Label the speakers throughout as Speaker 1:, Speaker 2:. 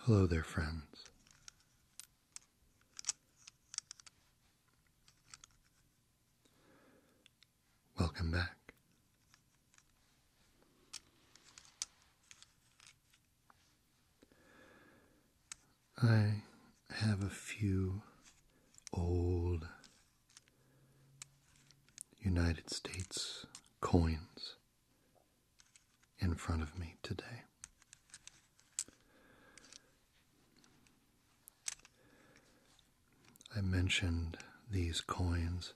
Speaker 1: Hello there, friends. Welcome back. I have a few old United States coins in front of me today. I mentioned these coins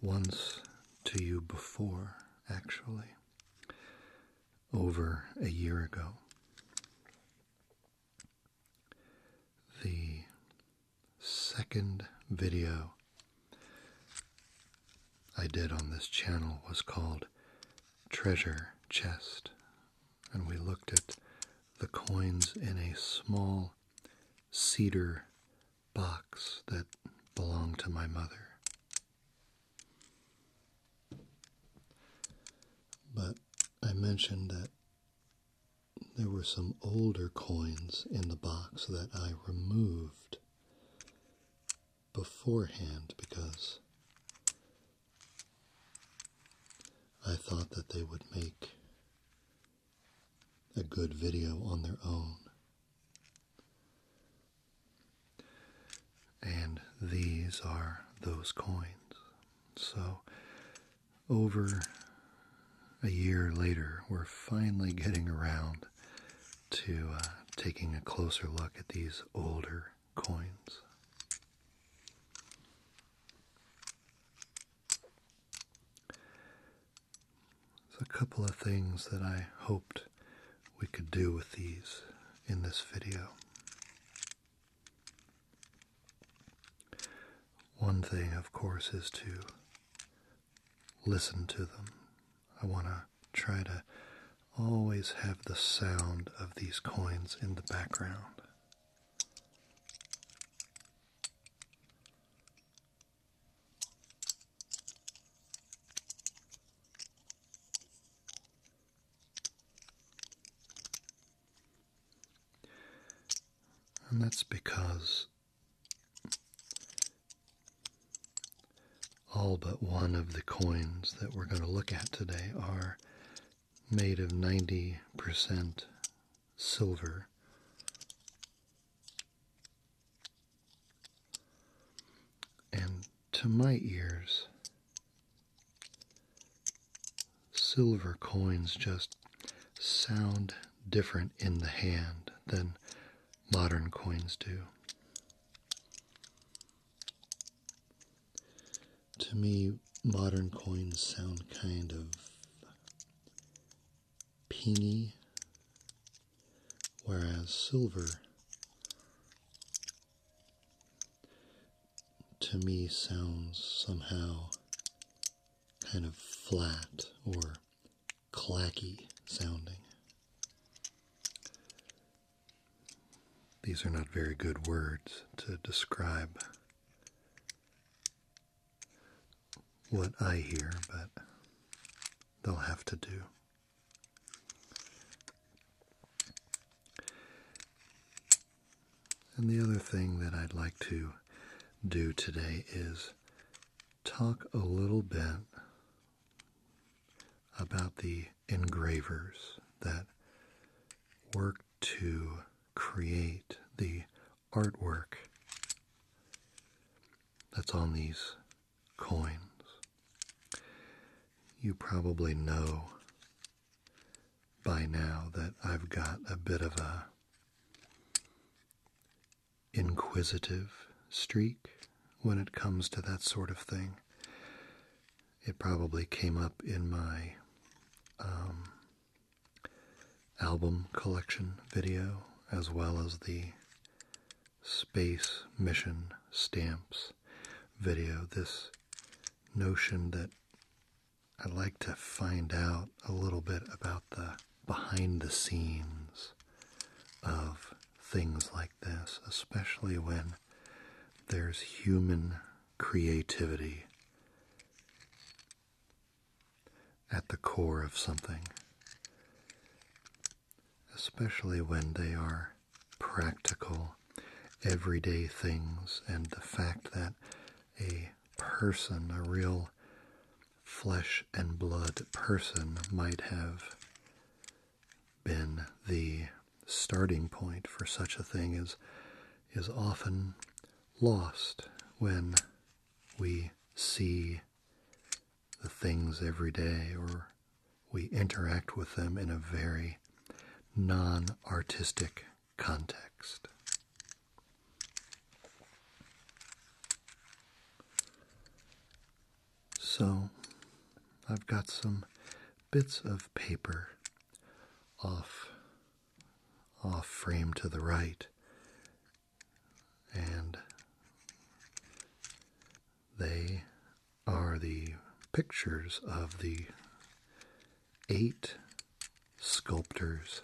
Speaker 1: once to you before, actually, over a year ago. The second video I did on this channel was called Treasure Chest, and we looked at the coins in a small cedar box that belonged to my mother. But I mentioned that there were some older coins in the box that I removed beforehand because I thought that they would make a good video on their own. And these are those coins. So, over a year later, we're finally getting around to uh, taking a closer look at these older coins. There's a couple of things that I hoped we could do with these in this video. One thing, of course, is to listen to them. I want to try to always have the sound of these coins in the background. And that's because all but one of the coins that we're going to look at today are made of 90% silver. And to my ears, silver coins just sound different in the hand than modern coins do. To me, modern coins sound kind of pingy, whereas silver to me sounds somehow kind of flat or clacky sounding. These are not very good words to describe what I hear, but they'll have to do. And the other thing that I'd like to do today is talk a little bit about the engravers that worked to create the artwork that's on these coins. You probably know by now that I've got a bit of a inquisitive streak when it comes to that sort of thing. It probably came up in my um, album collection video as well as the space mission stamps video. This notion that i like to find out a little bit about the behind the scenes of things like this, especially when there's human creativity at the core of something, especially when they are practical, everyday things, and the fact that a person, a real flesh and blood person, might have been the starting point for such a thing is is often lost when we see the things every day or we interact with them in a very non-artistic context. So I've got some bits of paper off off frame to the right and they are the pictures of the eight sculptors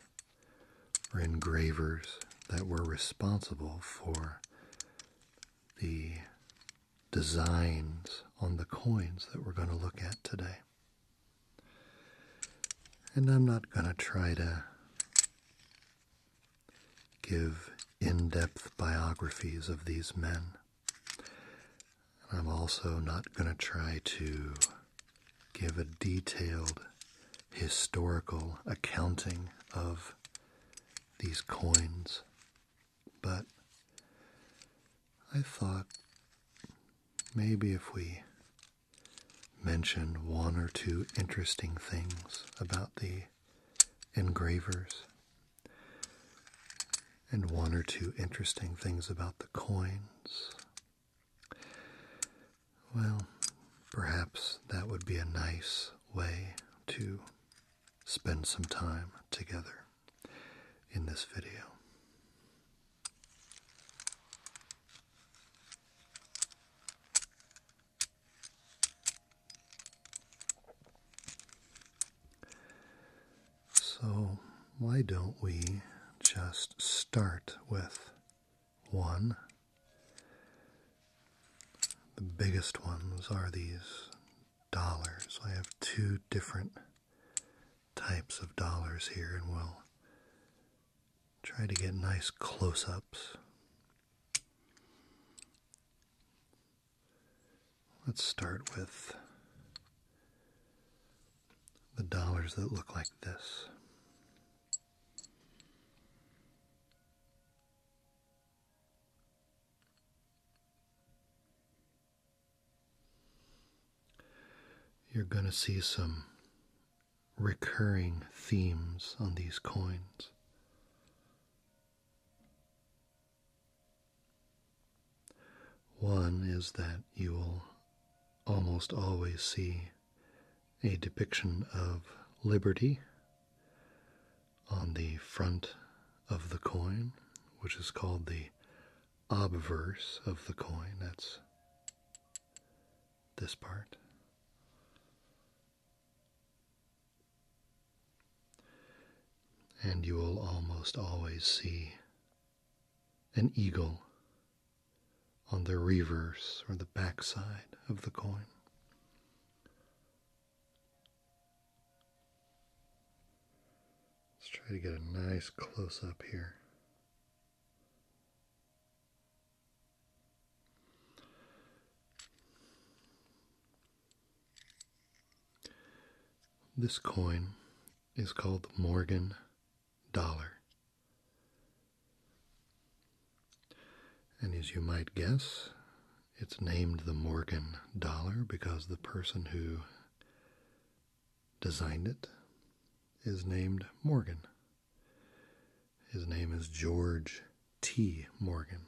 Speaker 1: or engravers that were responsible for the designs on the coins that we're going to look at today. And I'm not going to try to give in depth biographies of these men. And I'm also not going to try to give a detailed historical accounting of these coins, but I thought maybe if we mentioned one or two interesting things about the engravers and one or two interesting things about the coins. Well, perhaps that would be a nice way to spend some time together in this video. So, why don't we just start with one the biggest ones are these dollars. I have two different types of dollars here, and we'll try to get nice close ups. Let's start with the dollars that look like this. You're going to see some recurring themes on these coins. One is that you will almost always see a depiction of liberty on the front of the coin, which is called the obverse of the coin. That's this part. And you will almost always see an eagle on the reverse or the backside of the coin. Let's try to get a nice close up here. This coin is called the Morgan dollar. And as you might guess, it's named the Morgan dollar because the person who designed it is named Morgan. His name is George T. Morgan.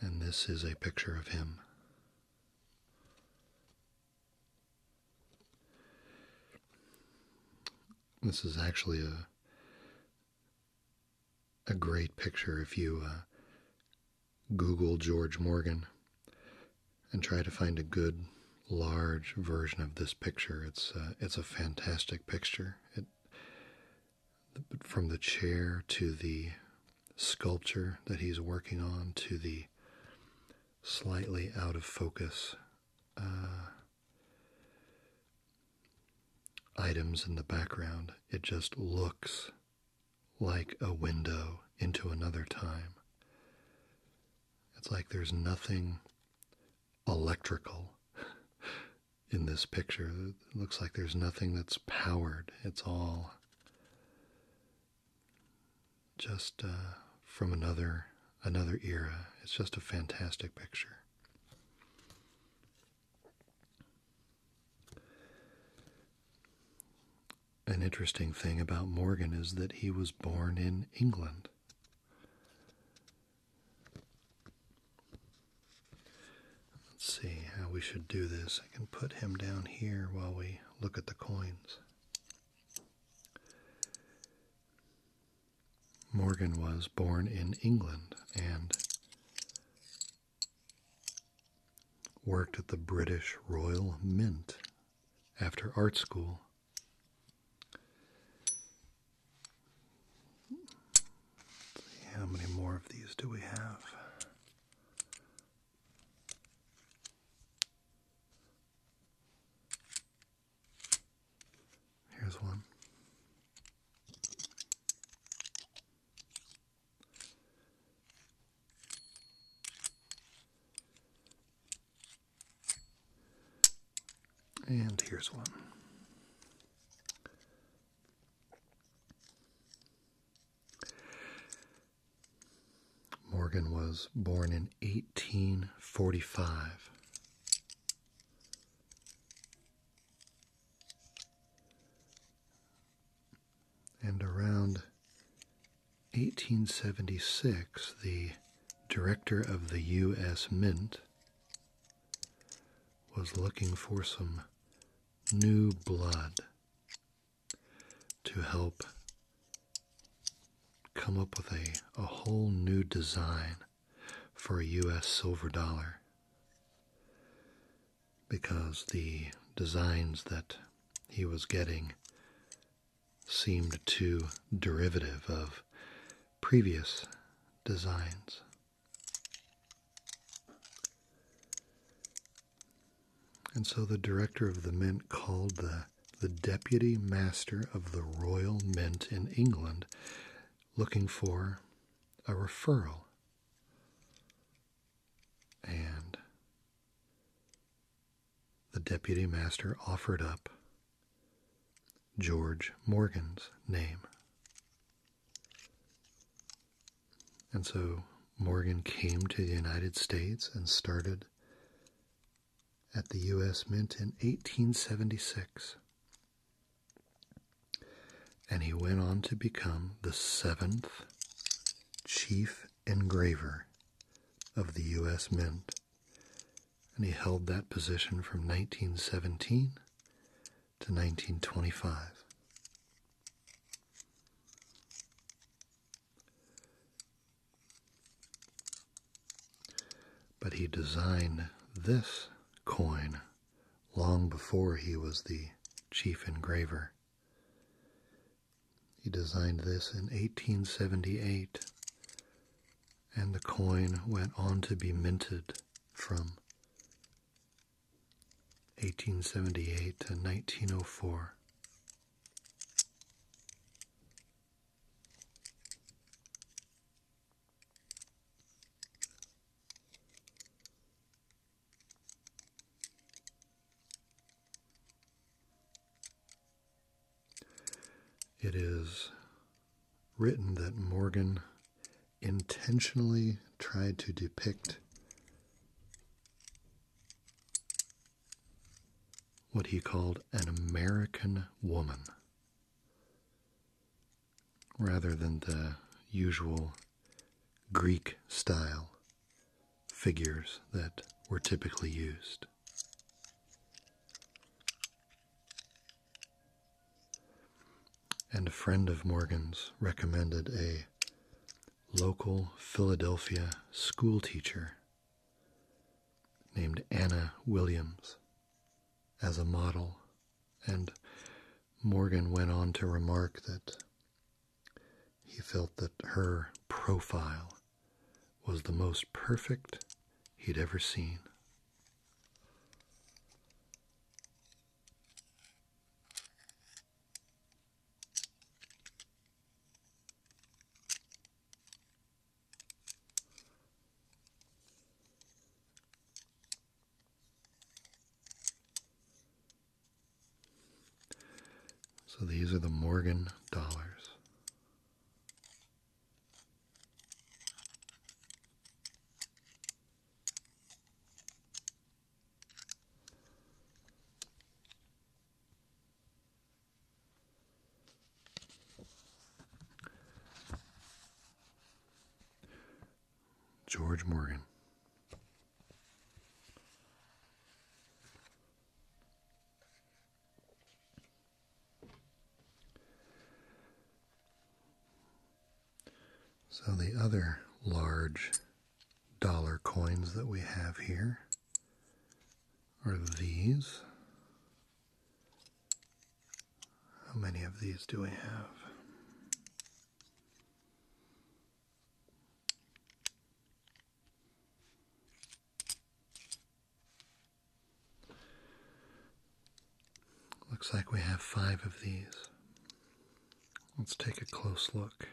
Speaker 1: And this is a picture of him. This is actually a a great picture if you uh, Google George Morgan and try to find a good large version of this picture. It's uh, it's a fantastic picture. from the chair to the sculpture that he's working on to the slightly out of focus uh, items in the background. It just looks like a window into another time. It's like there's nothing electrical in this picture. It looks like there's nothing that's powered. It's all just uh, from another another era. It's just a fantastic picture. An interesting thing about Morgan is that he was born in England. Let's see how we should do this. I can put him down here while we look at the coins. Morgan was born in England and worked at the British Royal Mint after art school. how many more of these do we have? Here's one. And here's one. Morgan was born in 1845. And around 1876, the director of the U.S. Mint was looking for some new blood to help come up with a, a whole new design for a US silver dollar because the designs that he was getting seemed too derivative of previous designs. And so the director of the mint called the, the deputy master of the Royal Mint in England looking for a referral. And the deputy master offered up George Morgan's name. And so Morgan came to the United States and started at the U.S. Mint in 1876. And he went on to become the seventh chief engraver of the U.S. Mint. And he held that position from 1917 to 1925. But he designed this coin long before he was the chief engraver. He designed this in 1878, and the coin went on to be minted from 1878 to 1904. It is written that Morgan intentionally tried to depict what he called an American woman rather than the usual Greek style figures that were typically used. And a friend of Morgan's recommended a local Philadelphia schoolteacher named Anna Williams as a model. And Morgan went on to remark that he felt that her profile was the most perfect he'd ever seen. So these are the Morgan dollars. George Morgan. So, the other large dollar coins that we have here are these. How many of these do we have? Looks like we have five of these. Let's take a close look.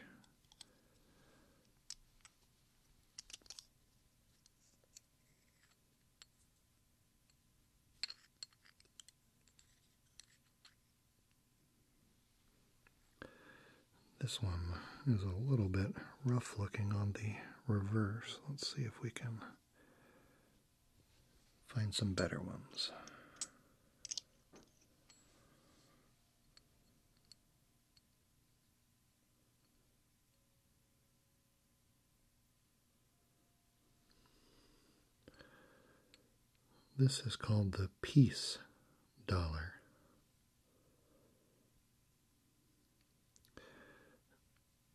Speaker 1: This one is a little bit rough looking on the reverse. Let's see if we can find some better ones. This is called the peace dollar.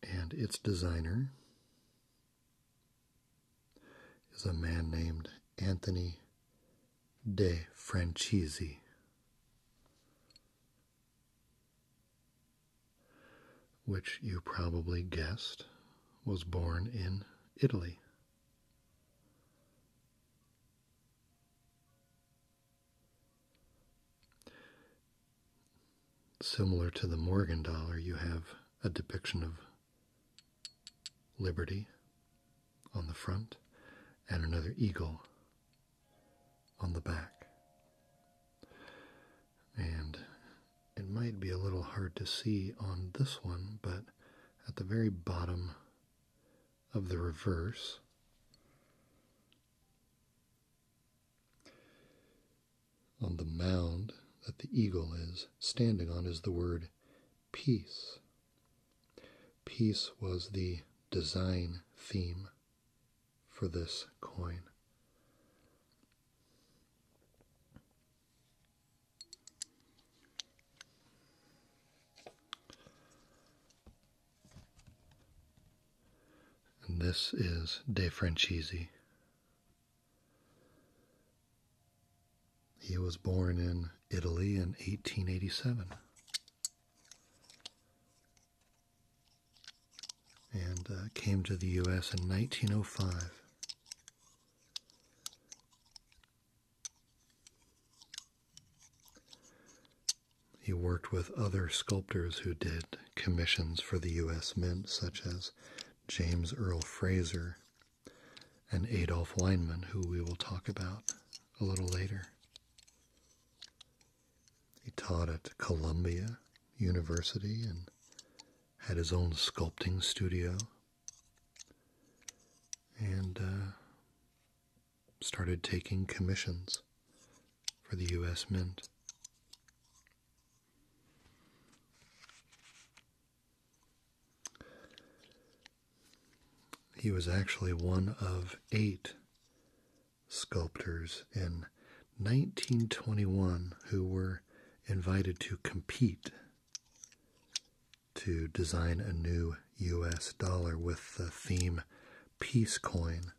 Speaker 1: And its designer is a man named Anthony de Franchisi. Which you probably guessed was born in Italy. Similar to the Morgan dollar, you have a depiction of liberty on the front and another eagle on the back. And it might be a little hard to see on this one, but at the very bottom of the reverse, on the mound that the eagle is standing on, is the word peace. Peace was the design theme for this coin. And this is De Francisi. He was born in Italy in 1887 and uh, came to the U.S. in 1905. He worked with other sculptors who did commissions for the U.S. Mint, such as James Earl Fraser and Adolf Lineman, who we will talk about a little later. He taught at Columbia University and had his own sculpting studio and uh, started taking commissions for the U.S. Mint. He was actually one of eight sculptors in 1921 who were invited to compete to design a new US dollar with the theme peace coin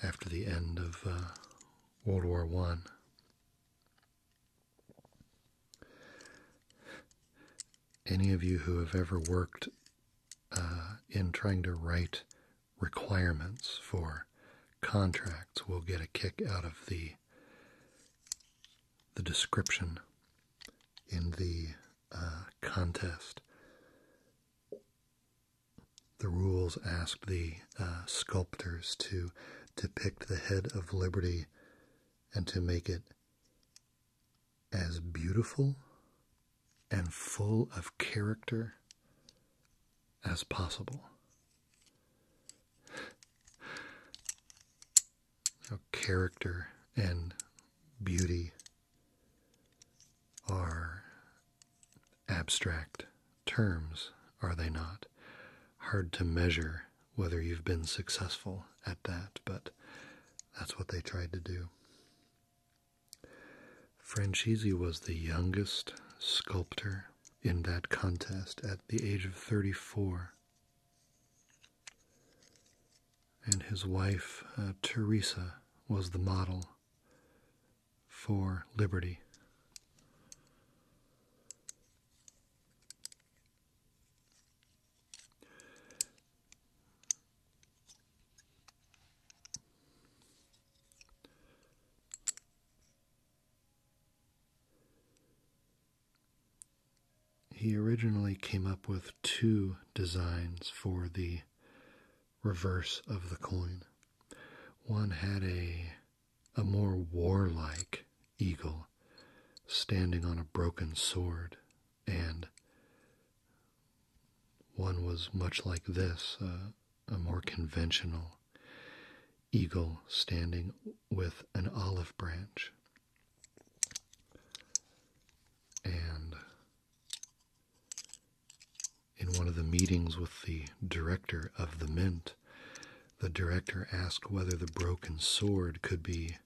Speaker 1: after the end of uh, World War One any of you who have ever worked uh, in trying to write requirements for contracts will get a kick out of the the description in the uh, contest. The rules asked the uh, sculptors to depict the head of liberty and to make it as beautiful and full of character as possible. Now, character and beauty are abstract terms, are they not? Hard to measure whether you've been successful at that, but that's what they tried to do. Franchisi was the youngest sculptor in that contest at the age of 34. And his wife, uh, Teresa, was the model for Liberty. He originally came up with two designs for the reverse of the coin. One had a a more warlike eagle standing on a broken sword and one was much like this uh, a more conventional eagle standing with an olive branch. And in one of the meetings with the director of the mint, the director asked whether the broken sword could be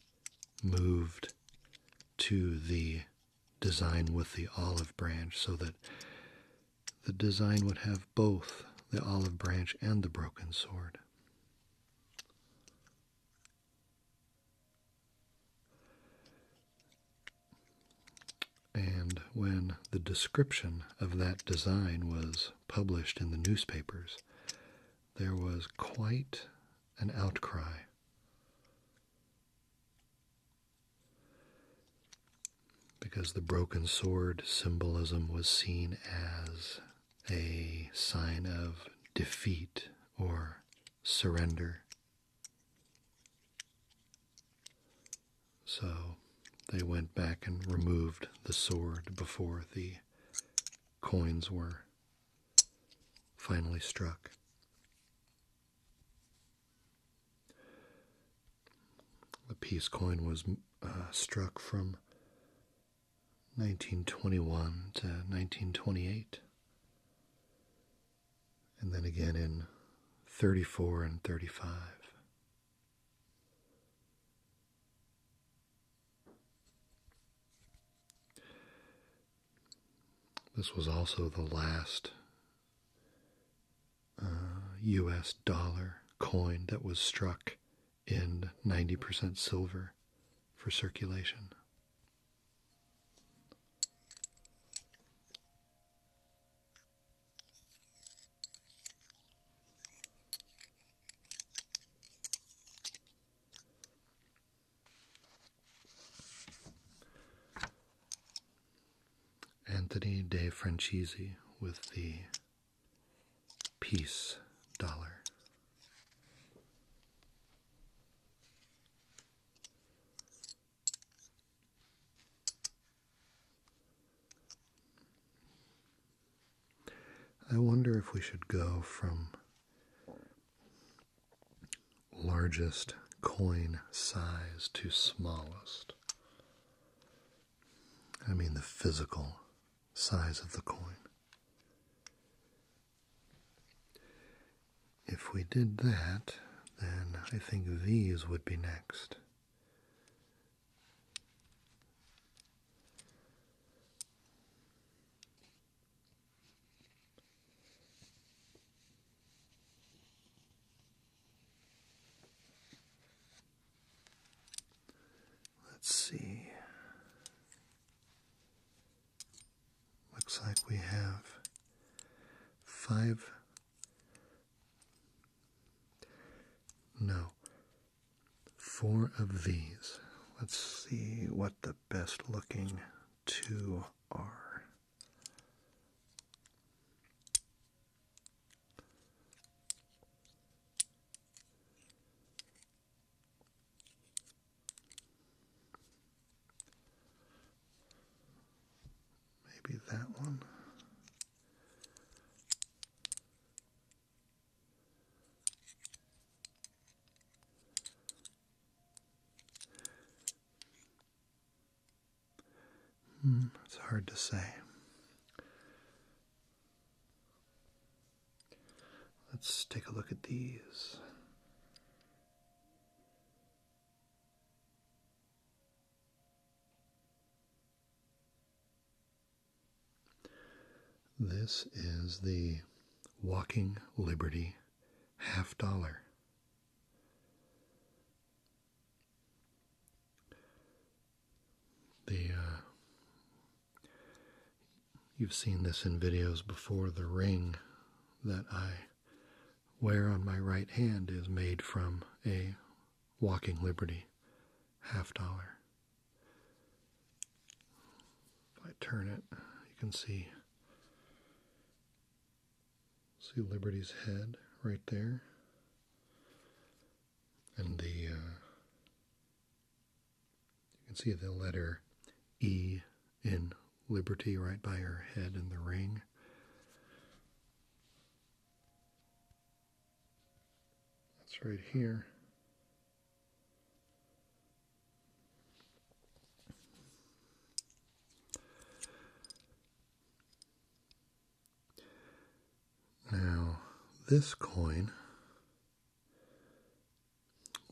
Speaker 1: moved to the design with the olive branch so that the design would have both the olive branch and the broken sword. And when the description of that design was published in the newspapers, there was quite an outcry because the broken sword symbolism was seen as a sign of defeat or surrender. So they went back and removed the sword before the coins were finally struck. The peace coin was uh, struck from 1921 to 1928, and then again in 34 and 35. This was also the last US uh, dollar coin that was struck in 90% silver for circulation. Anthony De Francisi with the peace dollar. I wonder if we should go from largest coin size to smallest. I mean the physical size of the coin. If we did that, then I think these would be next. Let's see. Looks like we have five. No, four of these. Let's see what the best looking two Maybe that one it's hmm, hard to say. Let's take a look at these. This is the Walking Liberty half dollar. The uh, you've seen this in videos before. The ring that I wear on my right hand is made from a Walking Liberty half dollar. If I turn it, you can see See Liberty's head right there. And the, uh, you can see the letter E in Liberty right by her head in the ring. That's right here. Now, this coin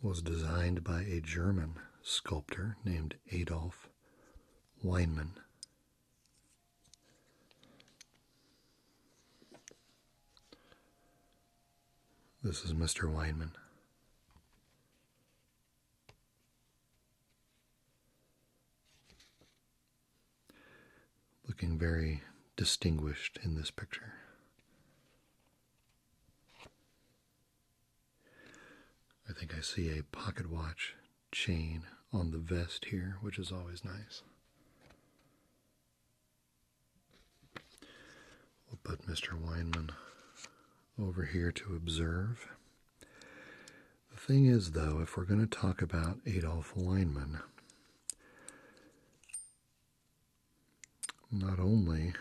Speaker 1: was designed by a German sculptor named Adolf Weinmann. This is Mr. Weinman. Looking very distinguished in this picture. I think I see a pocket watch chain on the vest here, which is always nice. We'll put Mr. Weinman over here to observe. The thing is, though, if we're going to talk about Adolf Weinman, not only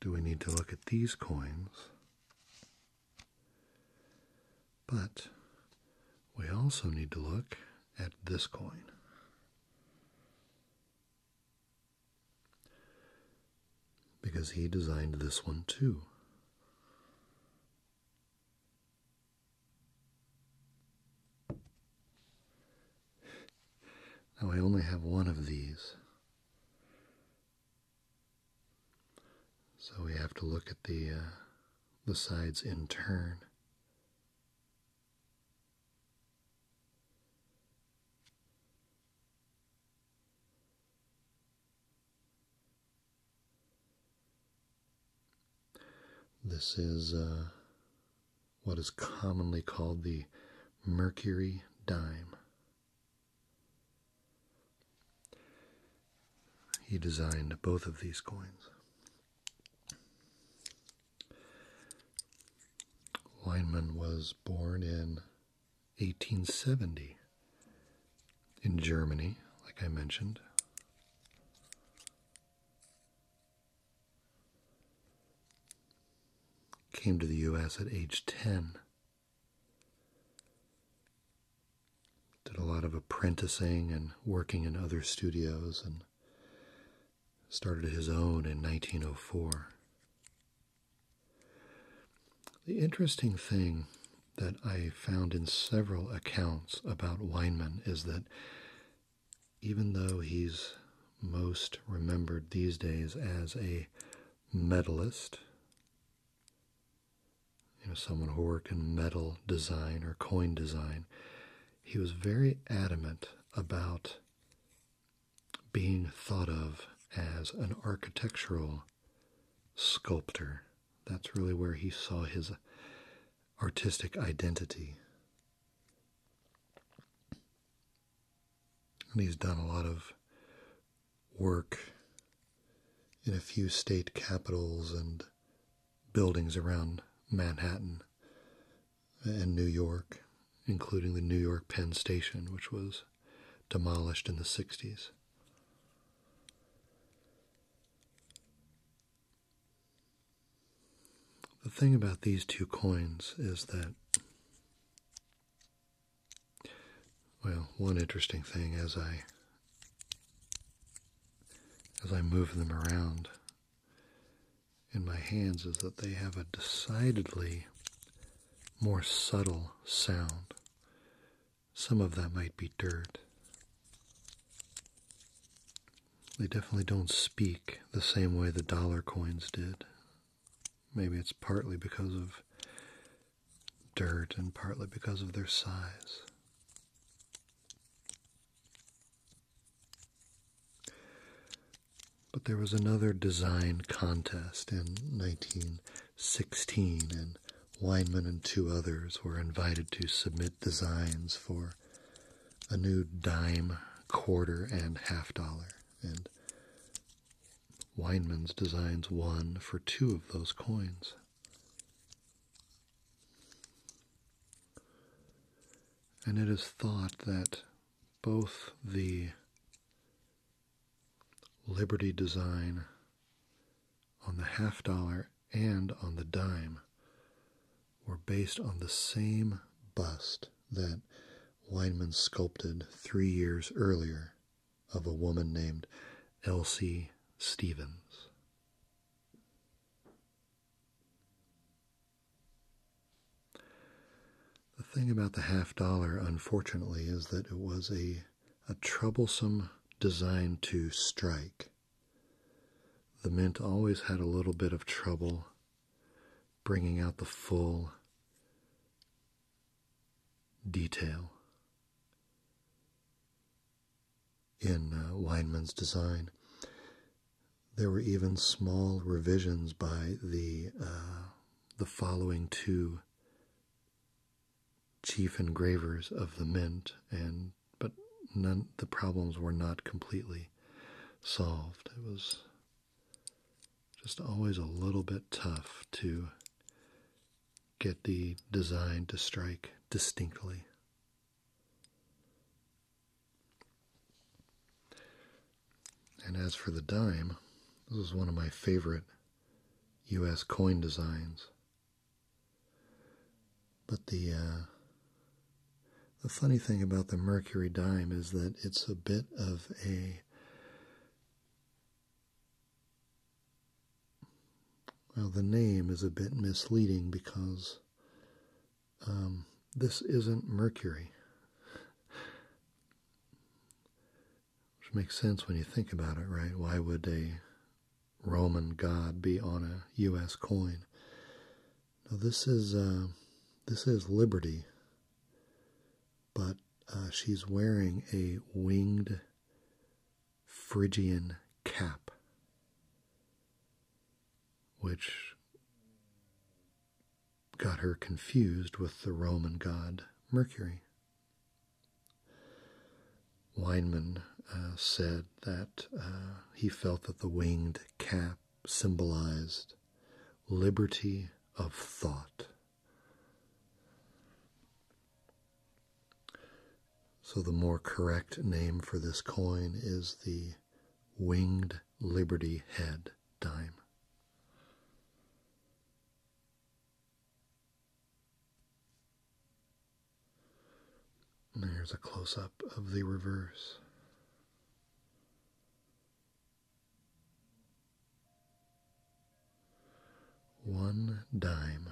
Speaker 1: do we need to look at these coins, but we also need to look at this coin. Because he designed this one too. Now I only have one of these. So we have to look at the uh, the sides in turn. This is uh, what is commonly called the mercury dime. He designed both of these coins. Weinman was born in 1870 in Germany, like I mentioned. Came to the US at age 10. Did a lot of apprenticing and working in other studios and started his own in 1904. The interesting thing that I found in several accounts about Weinman is that even though he's most remembered these days as a medalist, you know, someone who worked in metal design or coin design, he was very adamant about being thought of as an architectural sculptor. That's really where he saw his artistic identity. And he's done a lot of work in a few state capitals and buildings around Manhattan and New York, including the New York Penn Station, which was demolished in the 60s. The thing about these two coins is that, well, one interesting thing as I as I move them around in my hands is that they have a decidedly more subtle sound. Some of that might be dirt. They definitely don't speak the same way the dollar coins did. Maybe it's partly because of dirt and partly because of their size. But there was another design contest in 1916, and Weinman and two others were invited to submit designs for a new dime, quarter, and half dollar. And Weinman's designs won for two of those coins. And it is thought that both the Liberty design on the half dollar and on the dime were based on the same bust that Weinman sculpted three years earlier of a woman named Elsie Stevens. The thing about the half dollar, unfortunately, is that it was a, a troublesome design to strike. The mint always had a little bit of trouble bringing out the full detail in uh, Weinman's design. There were even small revisions by the uh, the following two chief engravers of the mint and but none the problems were not completely solved it was just always a little bit tough to get the design to strike distinctly and as for the dime, this is one of my favorite US coin designs. But the uh, the funny thing about the mercury dime is that it's a bit of a well, the name is a bit misleading because um, this isn't mercury. Which makes sense when you think about it, right? Why would a Roman god be on a U.S. coin? Now this is uh, this is Liberty, but uh, she's wearing a winged Phrygian cap, which got her confused with the Roman god Mercury. Weinman uh, said that uh, he felt that the winged cap symbolized liberty of thought. So, the more correct name for this coin is the winged liberty head dime here's a close up of the reverse. One dime.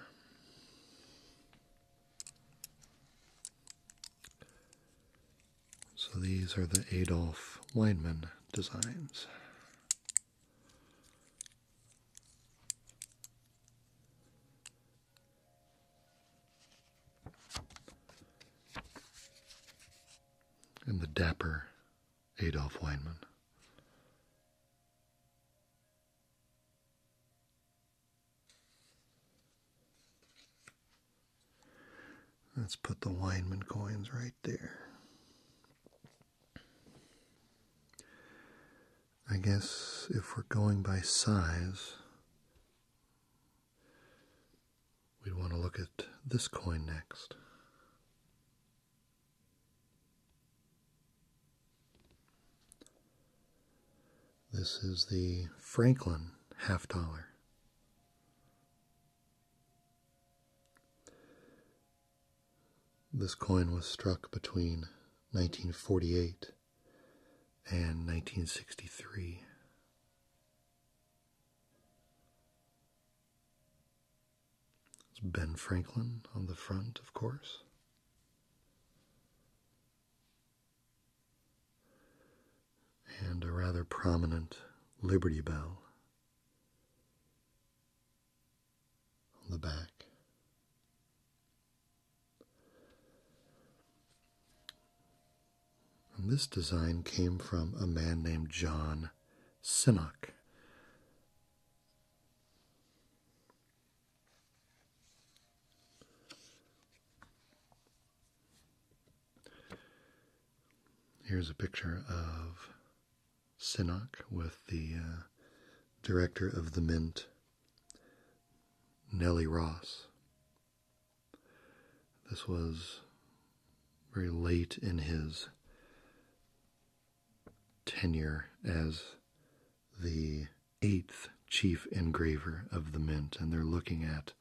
Speaker 1: So these are the Adolf Weinman designs and the dapper Adolf Weinman. Let's put the Weinman coins right there. I guess if we're going by size, we would want to look at this coin next. This is the Franklin half dollar. This coin was struck between 1948 and 1963. It's Ben Franklin on the front, of course. And a rather prominent Liberty Bell on the back. And this design came from a man named John Sinnock. Here's a picture of Sinnock with the uh, director of the Mint, Nellie Ross. This was very late in his tenure as the eighth chief engraver of the Mint, and they're looking at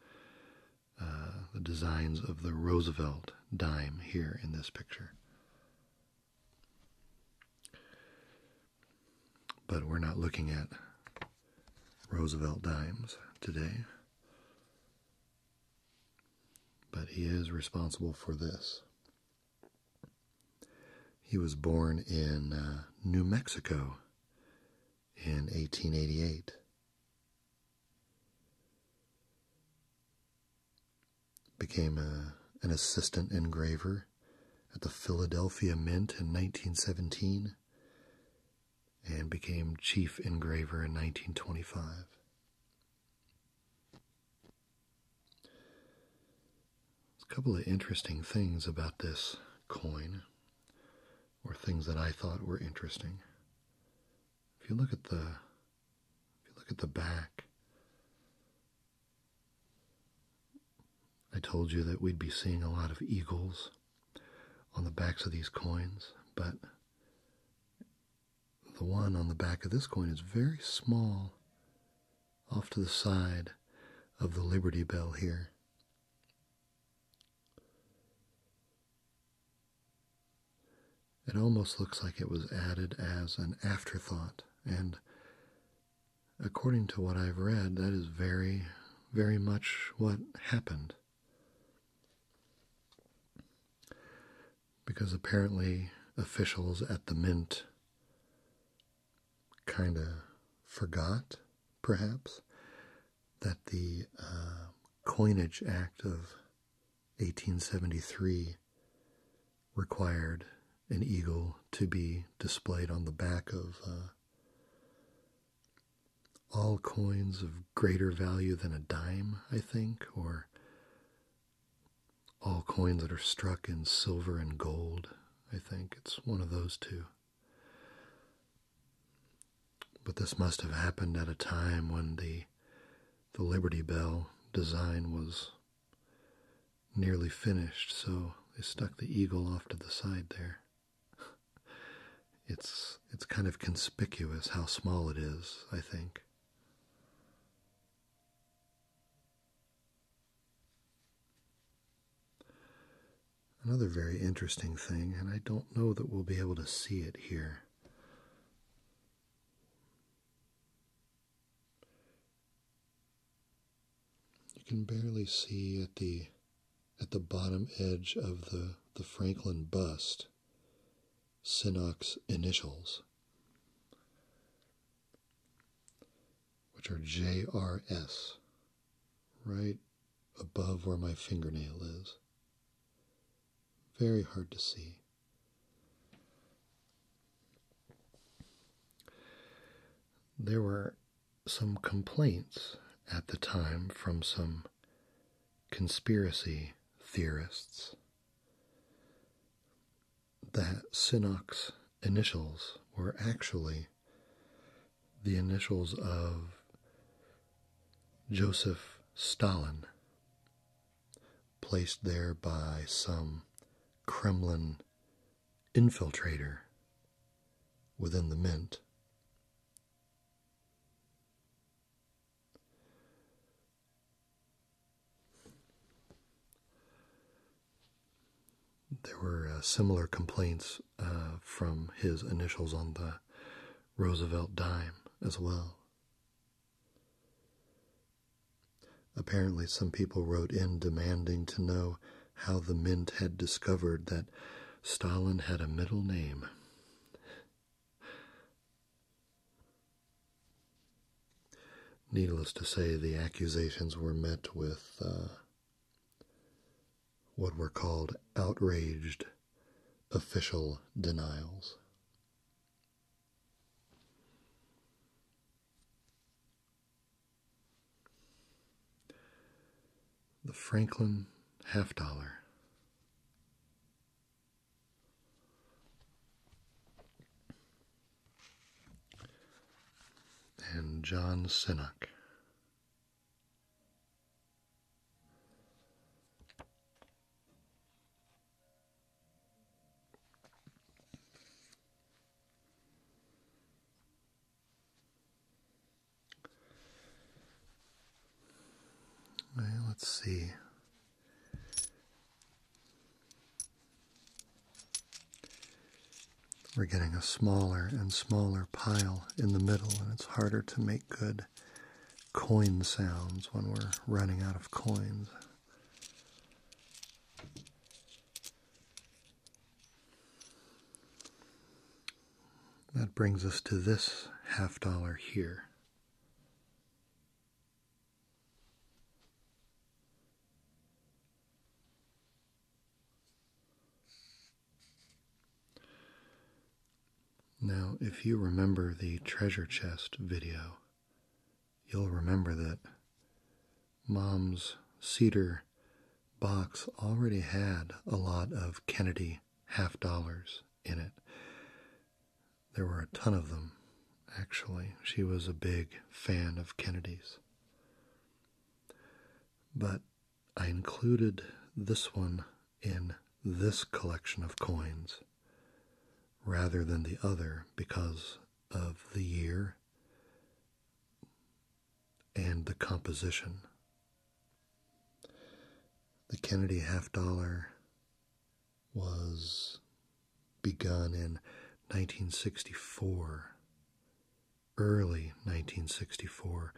Speaker 1: uh, the designs of the Roosevelt dime here in this picture. But we're not looking at Roosevelt dimes today. But he is responsible for this. He was born in uh, New Mexico in 1888. Became an assistant engraver at the Philadelphia Mint in 1917 and became chief engraver in 1925. a couple of interesting things about this coin, or things that I thought were interesting if you look at the if you look at the back I told you that we'd be seeing a lot of eagles on the backs of these coins, but the one on the back of this coin is very small off to the side of the Liberty Bell here. It almost looks like it was added as an afterthought, and according to what I've read, that is very, very much what happened. Because apparently, officials at the mint kind of forgot, perhaps, that the uh, Coinage Act of 1873 required an eagle to be displayed on the back of uh, all coins of greater value than a dime, I think, or all coins that are struck in silver and gold. I think it's one of those two. But this must have happened at a time when the the Liberty Bell design was nearly finished, so they stuck the eagle off to the side there. it's it's kind of conspicuous how small it is, I think. Another very interesting thing, and I don't know that we'll be able to see it here, you can barely see at the at the bottom edge of the, the Franklin bust Sinnock's initials, which are JRS, right above where my fingernail is. Very hard to see. There were some complaints at the time from some conspiracy theorists that Sinnock's initials were actually the initials of Joseph Stalin, placed there by some Kremlin infiltrator within the mint. There were uh, similar complaints uh, from his initials on the Roosevelt dime as well. Apparently, some people wrote in demanding to know how the Mint had discovered that Stalin had a middle name. Needless to say, the accusations were met with uh, what were called outraged official denials. The Franklin half dollar. And John Sinnott let's see. We're getting a smaller and smaller pile in the middle, and it's harder to make good coin sounds when we're running out of coins. That brings us to this half dollar here. Now, if you remember the treasure chest video, you'll remember that Mom's cedar box already had a lot of Kennedy half dollars in it. There were a ton of them, actually. She was a big fan of Kennedy's. But I included this one in this collection of coins rather than the other because of the year and the composition. The Kennedy half dollar was begun in 1964, early 1964,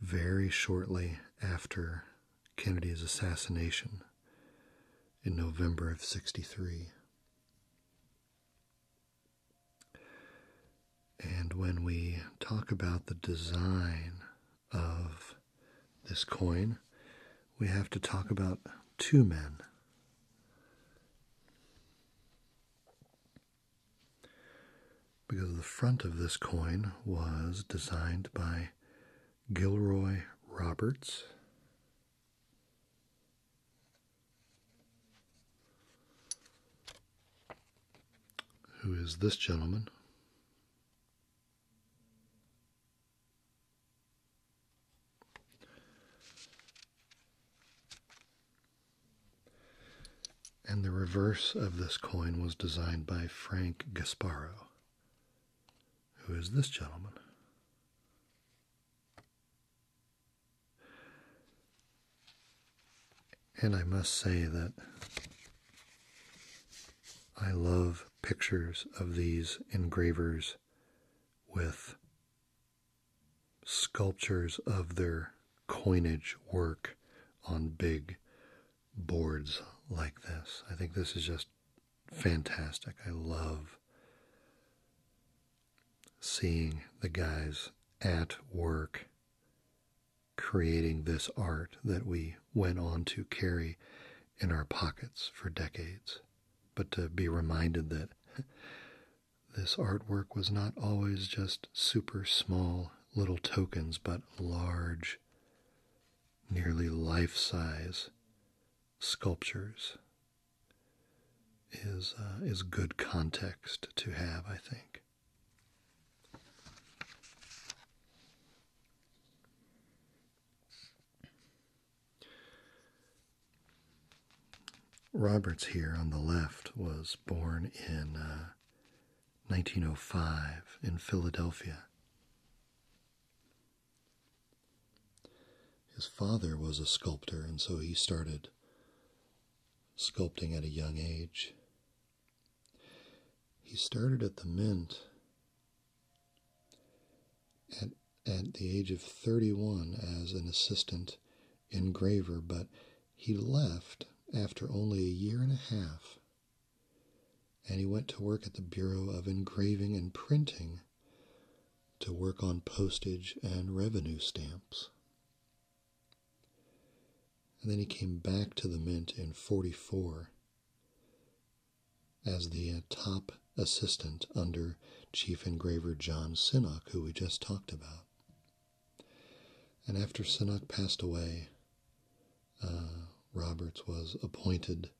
Speaker 1: very shortly after Kennedy's assassination in November of 63. And when we talk about the design of this coin, we have to talk about two men. Because the front of this coin was designed by Gilroy Roberts. Who is this gentleman? And the reverse of this coin was designed by Frank Gasparo. Who is this gentleman? And I must say that I love pictures of these engravers with sculptures of their coinage work on big boards like this. I think this is just fantastic. I love seeing the guys at work creating this art that we went on to carry in our pockets for decades. But to be reminded that this artwork was not always just super small little tokens, but large, nearly life size sculptures is uh, is good context to have, I think. Roberts here on the left was born in 1905 uh, in Philadelphia. His father was a sculptor, and so he started sculpting at a young age. He started at the mint at, the age of 31 as an assistant engraver, but he left after only a year and a half and he went to work at the Bureau of Engraving and Printing to work on postage and revenue stamps. And then he came back to the mint in 44 as the top assistant under Chief Engraver John Sinnock, who we just talked about. And after Sinnock passed away, uh, Roberts was appointed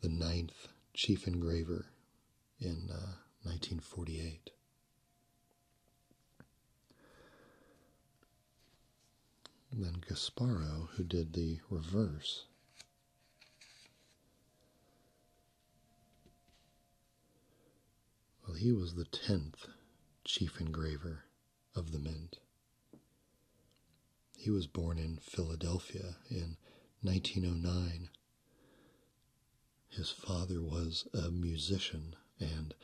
Speaker 1: the ninth chief engraver in 1948. Uh, then Gasparo, who did the reverse, well, he was the tenth chief engraver of the mint he was born in Philadelphia in 1909. His father was a musician, and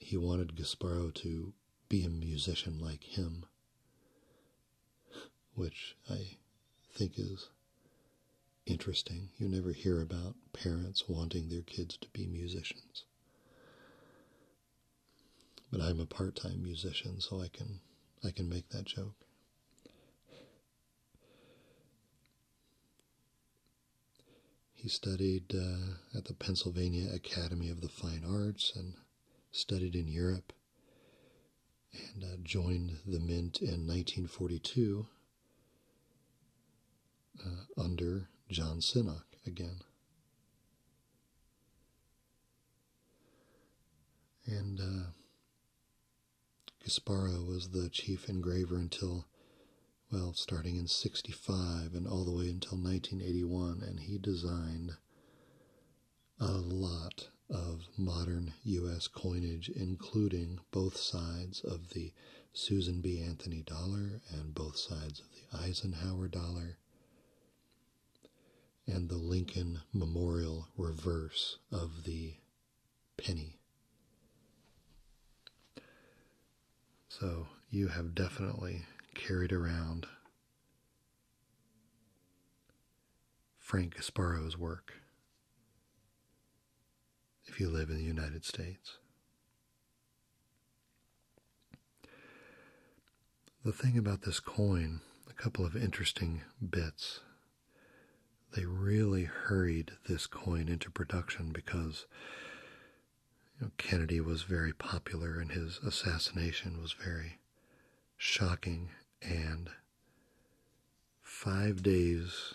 Speaker 1: he wanted Gasparo to be a musician like him, which I think is interesting. You never hear about parents wanting their kids to be musicians. But I'm a part-time musician, so I can I can make that joke. He studied uh, at the Pennsylvania Academy of the Fine Arts and studied in Europe and uh, joined the Mint in 1942 uh, under John Sinoc. again. And uh, Gasparo was the chief engraver until, well, starting in 65 and all the way until 1981. And he designed a lot of modern U.S. coinage, including both sides of the Susan B. Anthony dollar and both sides of the Eisenhower dollar and the Lincoln Memorial reverse of the penny. So you have definitely carried around Frank Gasparo's work if you live in the United States. The thing about this coin, a couple of interesting bits. They really hurried this coin into production because Kennedy was very popular and his assassination was very shocking. And five days,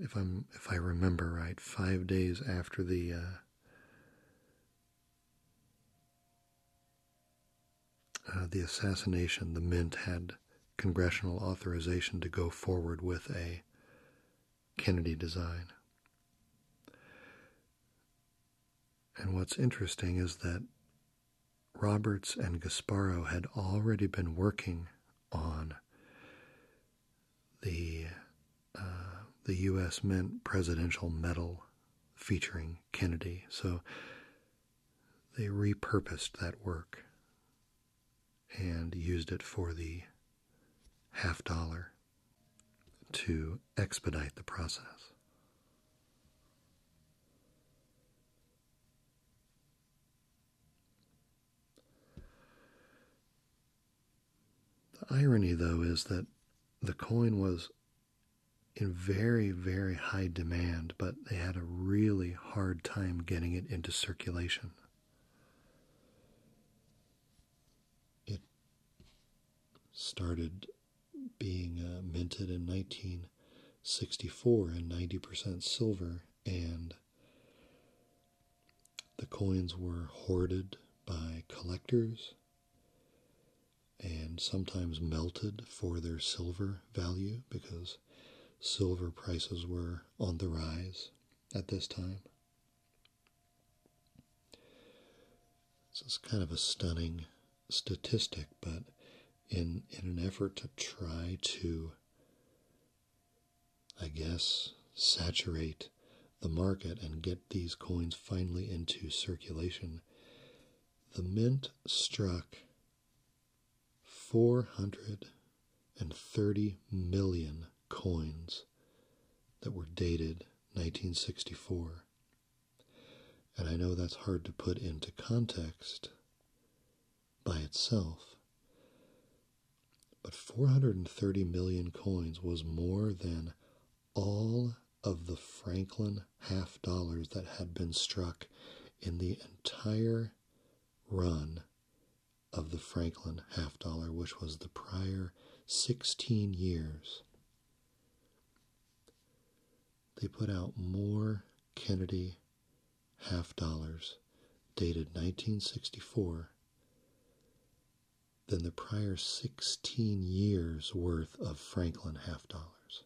Speaker 1: if i remember right, five days after the uh, uh, the assassination, the Mint had congressional authorization to go forward with a Kennedy design. And what's interesting is that Roberts and Gasparo had already been working on the uh, the U.S. Mint Presidential Medal featuring Kennedy. So they repurposed that work and used it for the half dollar to expedite the process. The irony, though, is that the coin was in very, very high demand, but they had a really hard time getting it into circulation. It started being uh, minted in 1964 in 90% silver, and the coins were hoarded by collectors and sometimes melted for their silver value because silver prices were on the rise at this time. This is kind of a stunning statistic, but in, in an effort to try to, I guess, saturate the market and get these coins finally into circulation, the mint struck 430 million coins that were dated 1964. And I know that's hard to put into context by itself, but 430 million coins was more than all of the Franklin half dollars that had been struck in the entire run of the Franklin half dollar, which was the prior 16 years. They put out more Kennedy half dollars dated 1964 than the prior 16 years worth of Franklin half dollars.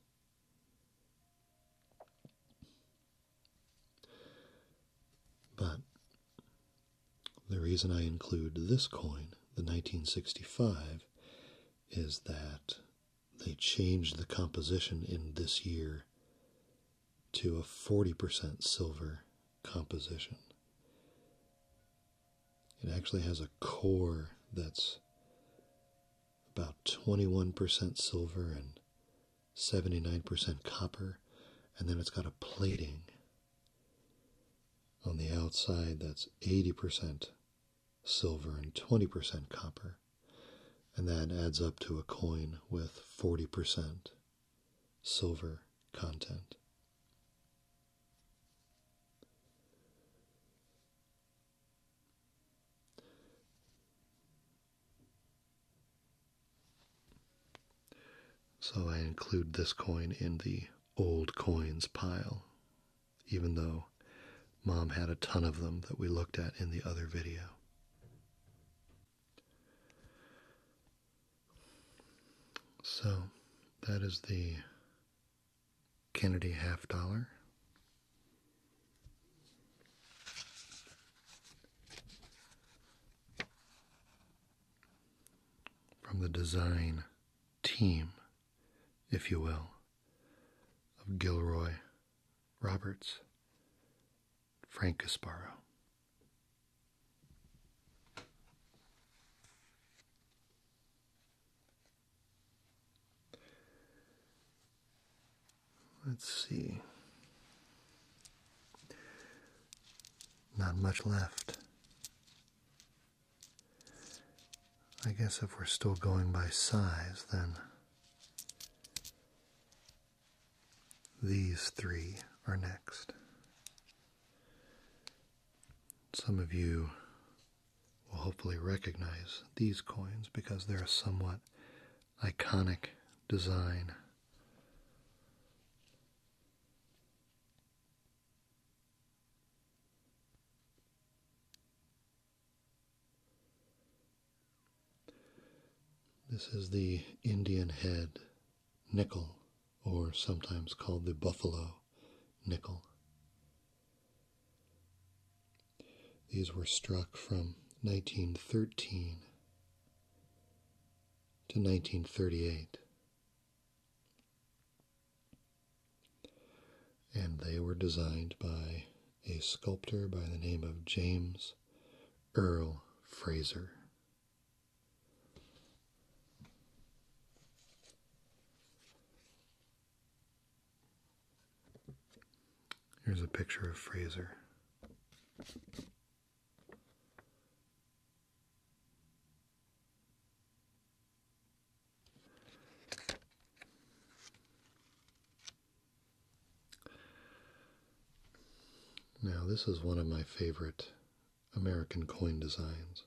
Speaker 1: But the reason I include this coin, the 1965, is that they changed the composition in this year to a 40% silver composition. It actually has a core that's about 21% silver and 79% copper, and then it's got a plating on the outside that's 80% silver and 20% copper, and that adds up to a coin with 40% silver content. So I include this coin in the old coins pile, even though mom had a ton of them that we looked at in the other video. So that is the Kennedy half dollar. From the design team, if you will, of Gilroy Roberts, Frank Casparo. Let's see. Not much left. I guess if we're still going by size, then these three are next. Some of you will hopefully recognize these coins because they're a somewhat iconic design. This is the Indian head nickel, or sometimes called the buffalo nickel. These were struck from 1913 to 1938. And they were designed by a sculptor by the name of James Earl Fraser. Here's a picture of Fraser. Now, this is one of my favorite American coin designs.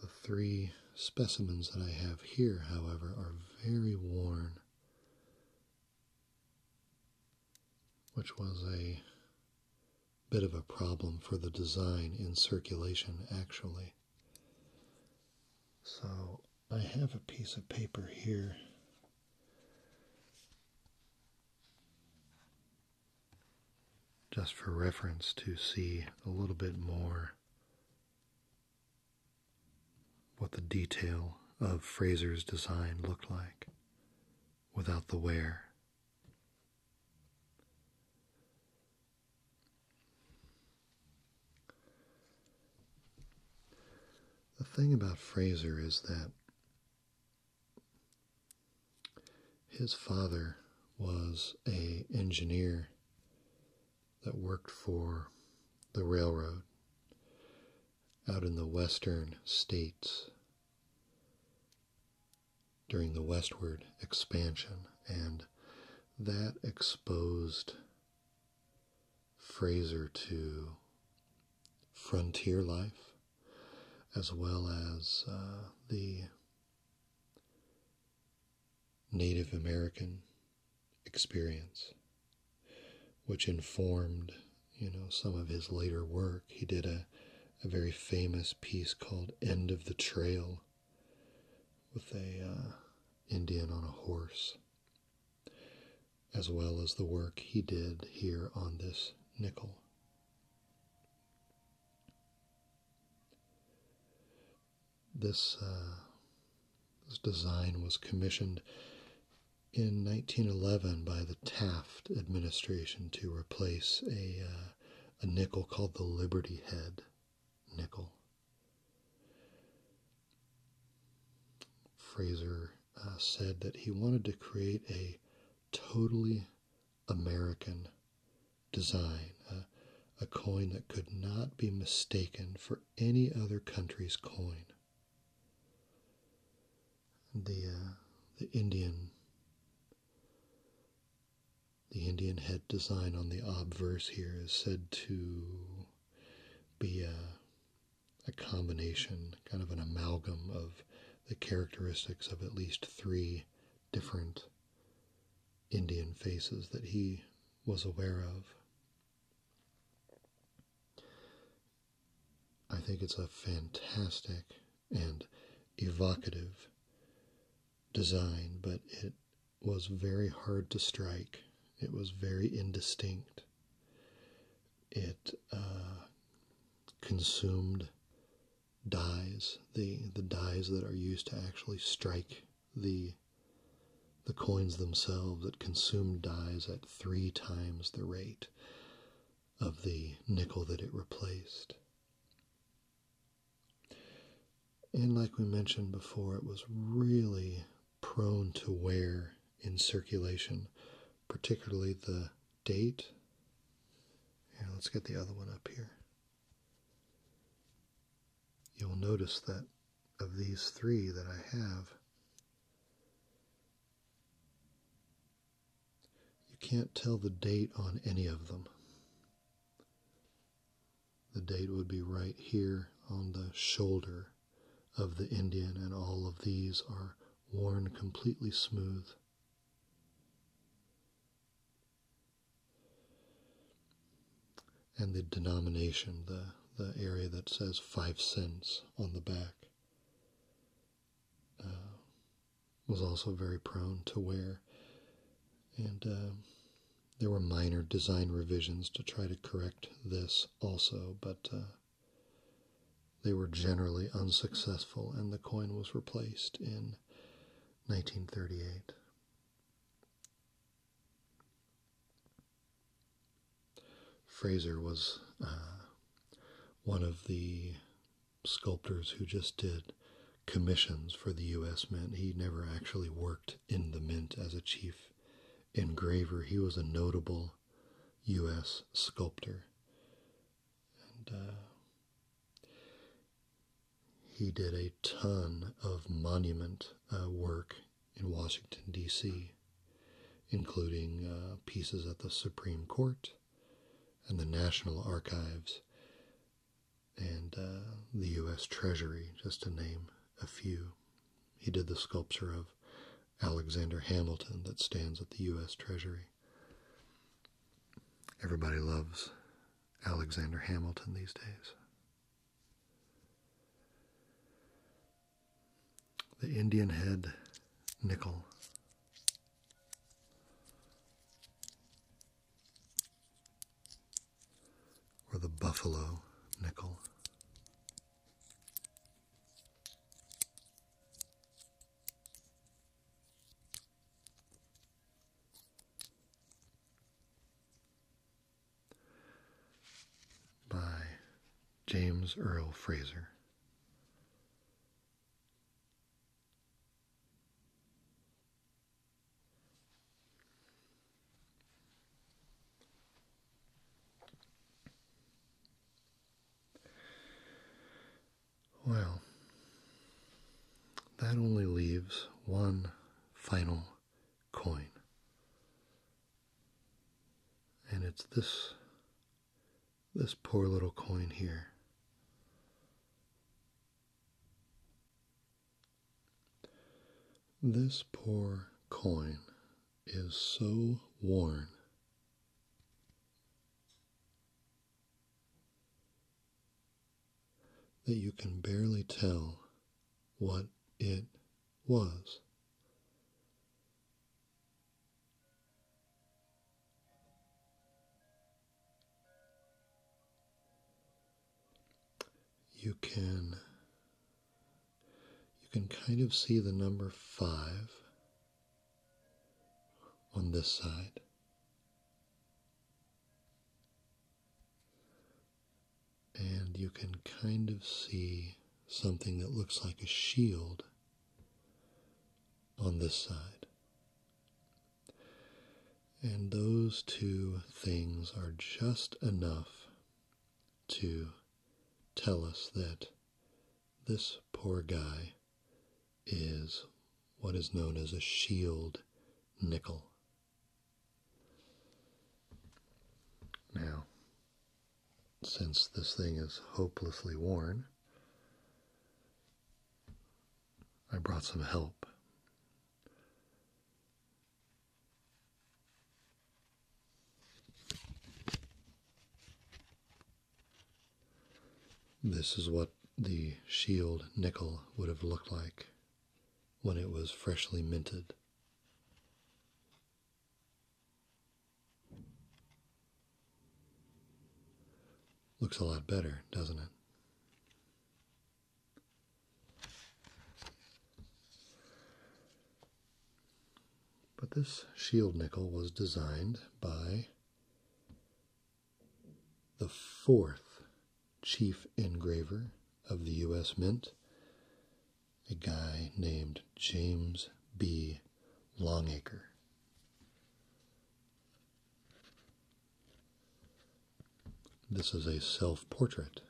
Speaker 1: The three specimens that I have here, however, are very worn, which was a bit of a problem for the design in circulation, actually. So I have a piece of paper here just for reference to see a little bit more what the detail of Fraser's design looked like without the wear. The thing about Fraser is that his father was a engineer that worked for the railroad out in the western states during the westward expansion and that exposed Fraser to frontier life as well as uh, the Native American experience, which informed, you know, some of his later work. He did a, very famous piece called "End of the Trail" with a uh, Indian on a horse, as well as the work he did here on this nickel. This, uh, this design was commissioned in 1911 by the Taft administration to replace a, uh, a nickel called the Liberty Head nickel. Fraser uh, said that he wanted to create a totally American design, a, a coin that could not be mistaken for any other country's coin. The, uh, the Indian the Indian head design on the obverse here is said to be a, a, combination, kind of an amalgam of the characteristics of at least three different Indian faces that he was aware of. I think it's a fantastic and evocative design, but it was very hard to strike. It was very indistinct. It uh, consumed dies, the the dies that are used to actually strike the the coins themselves that consumed dies at three times the rate of the nickel that it replaced. And like we mentioned before, it was really prone to wear in circulation, particularly the date. And let's get the other one up here. You'll notice that of these three that I have, you can't tell the date on any of them. The date would be right here on the shoulder of the Indian, and all of these are worn completely smooth and the denomination, the, the area that says five cents on the back, uh, was also very prone to wear. And uh, there were minor design revisions to try to correct this also, but uh, they were generally unsuccessful, and the coin was replaced in 1938. Fraser was uh, one of the sculptors who just did commissions for the U.S. Mint. He never actually worked in the Mint as a chief engraver. He was a notable U.S. sculptor uh, he did a ton of monument uh, work in Washington, D.C., including uh, pieces at the Supreme Court and the National Archives and the U.S. Treasury, just to name a few. He did the sculpture of Alexander Hamilton that stands at the U.S. Treasury. Everybody loves Alexander Hamilton these days. The Indian head nickel. Or the buffalo nickel by James Earl Fraser. Well, that only leaves one final coin. And it's this this poor little coin here. This poor coin is so worn that you can barely tell what it was. You can you can kind of see the number 5 on this side. And you can kind of see something that looks like a shield on this side. And those two things are just enough to tell us that this poor guy is what is known as a shield nickel. Now, since this thing is hopelessly worn, I brought some help. This is what the shield nickel would have looked like when it was freshly minted. Looks a lot better, doesn't it? But this shield nickel was designed by the fourth chief engraver of the U.S. Mint, a guy named James B. Longacre. This is a self portrait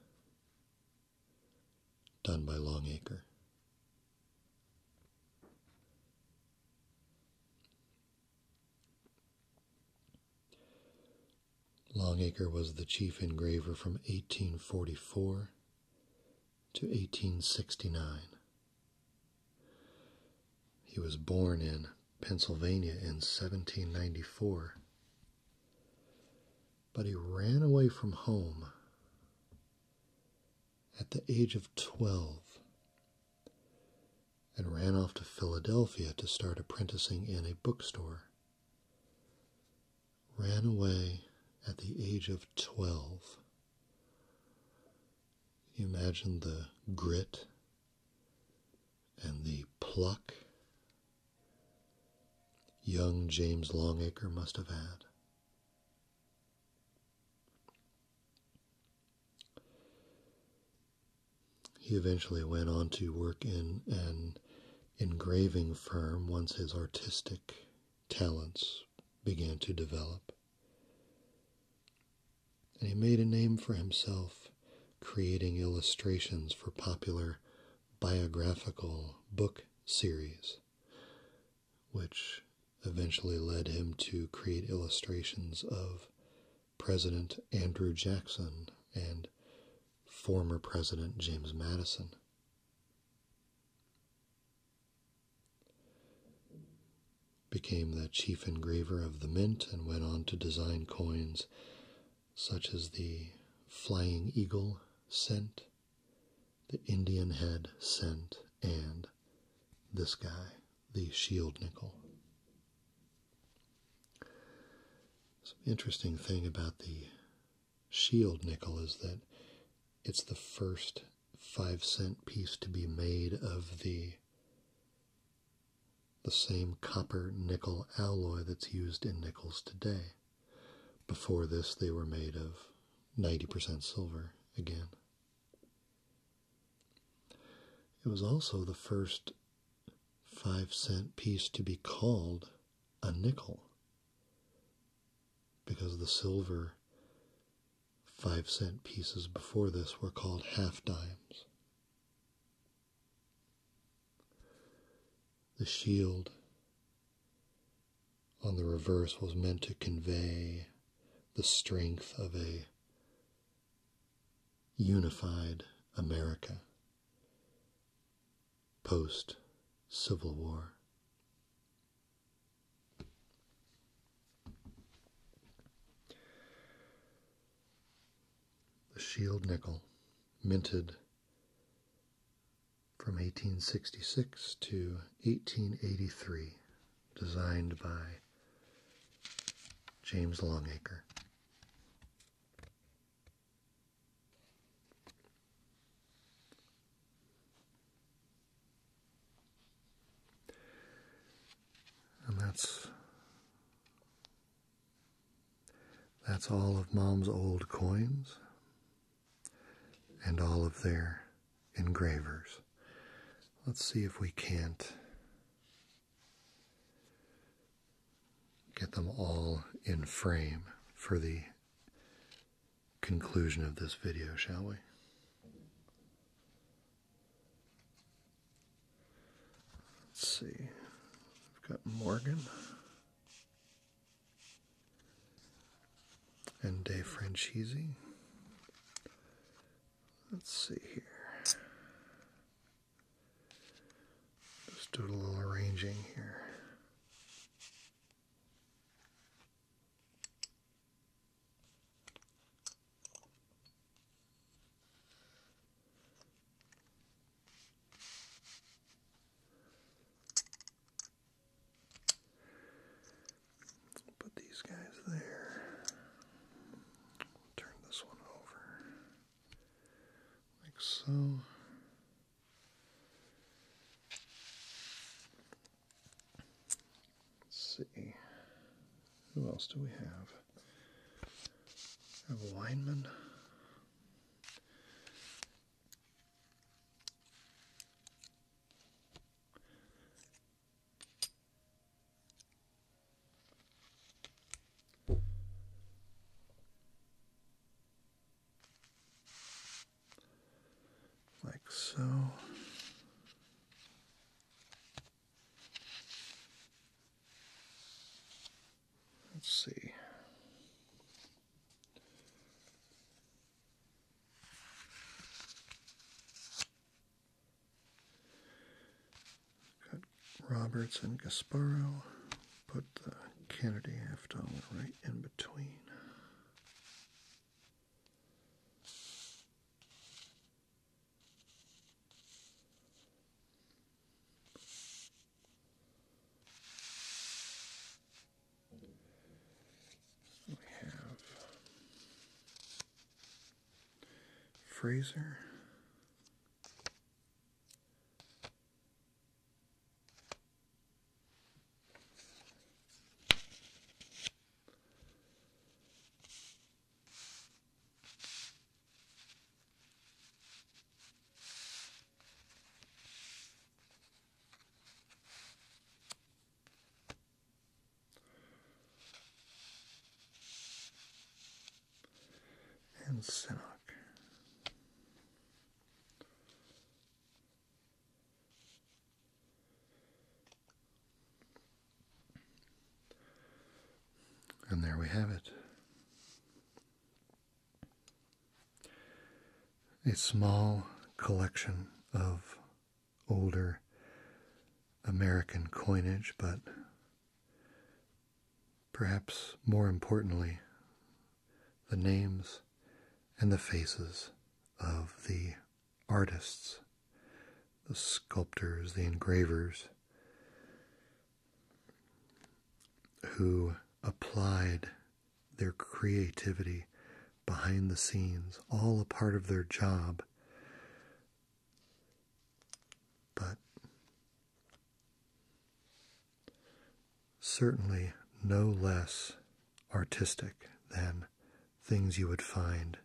Speaker 1: done by Longacre. Longacre was the chief engraver from 1844 to 1869. He was born in Pennsylvania in 1794, but he ran away from home at the age of 12 and ran off to Philadelphia to start apprenticing in a bookstore. Ran away at the age of 12. You imagine the grit and the pluck young James Longacre must have had. He eventually went on to work in an engraving firm once his artistic talents began to develop. And he made a name for himself creating illustrations for popular biographical book series, which eventually led him to create illustrations of President Andrew Jackson and former President James Madison. Became the chief engraver of the mint and went on to design coins such as the Flying Eagle cent, the Indian Head cent, and this guy the shield nickel. Some interesting thing about the shield nickel is that it's the first five cent piece to be made of the the same copper nickel alloy that's used in nickels today. Before this, they were made of 90% silver again. It was also the first five cent piece to be called a nickel because the silver five cent pieces before this were called half dimes. The shield on the reverse was meant to convey the strength of a unified America post Civil War. The shield nickel, minted from 1866 to 1883 designed by James Longacre. And that's that's all of mom's old coins and all of their engravers. Let's see if we can't Get them all in frame for the conclusion of this video, shall we? Let's see. I've got Morgan and Dave Franchisi Let's see here. Just do a little arranging here. Put these guys there turn this one over like so. Let's see. Who else do we have? have a lineman. Like so. Let's see. Got Roberts and Gasparo. Put the Kennedy half dollar right in between. We have Fraser and Sinnoh. And there we have it. A small collection of older American coinage, but perhaps more importantly, the names and the faces of the artists, the sculptors, the engravers who applied their creativity behind the scenes, all a part of their job but certainly no less artistic than things you would find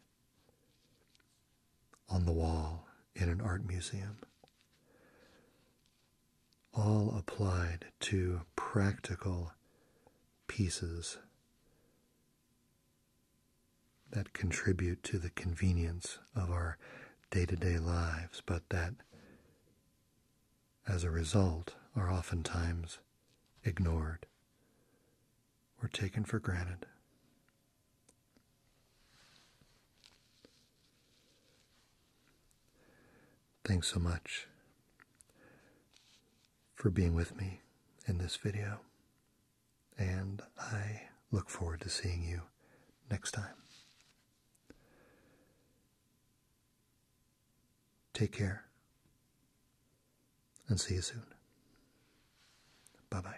Speaker 1: on the wall in an art museum. All applied to practical pieces that contribute to the convenience of our day to day lives, but that as a result are oftentimes ignored or taken for granted. Thanks so much for being with me in this video and I look forward to seeing you next time. Take care and see you soon. Bye bye.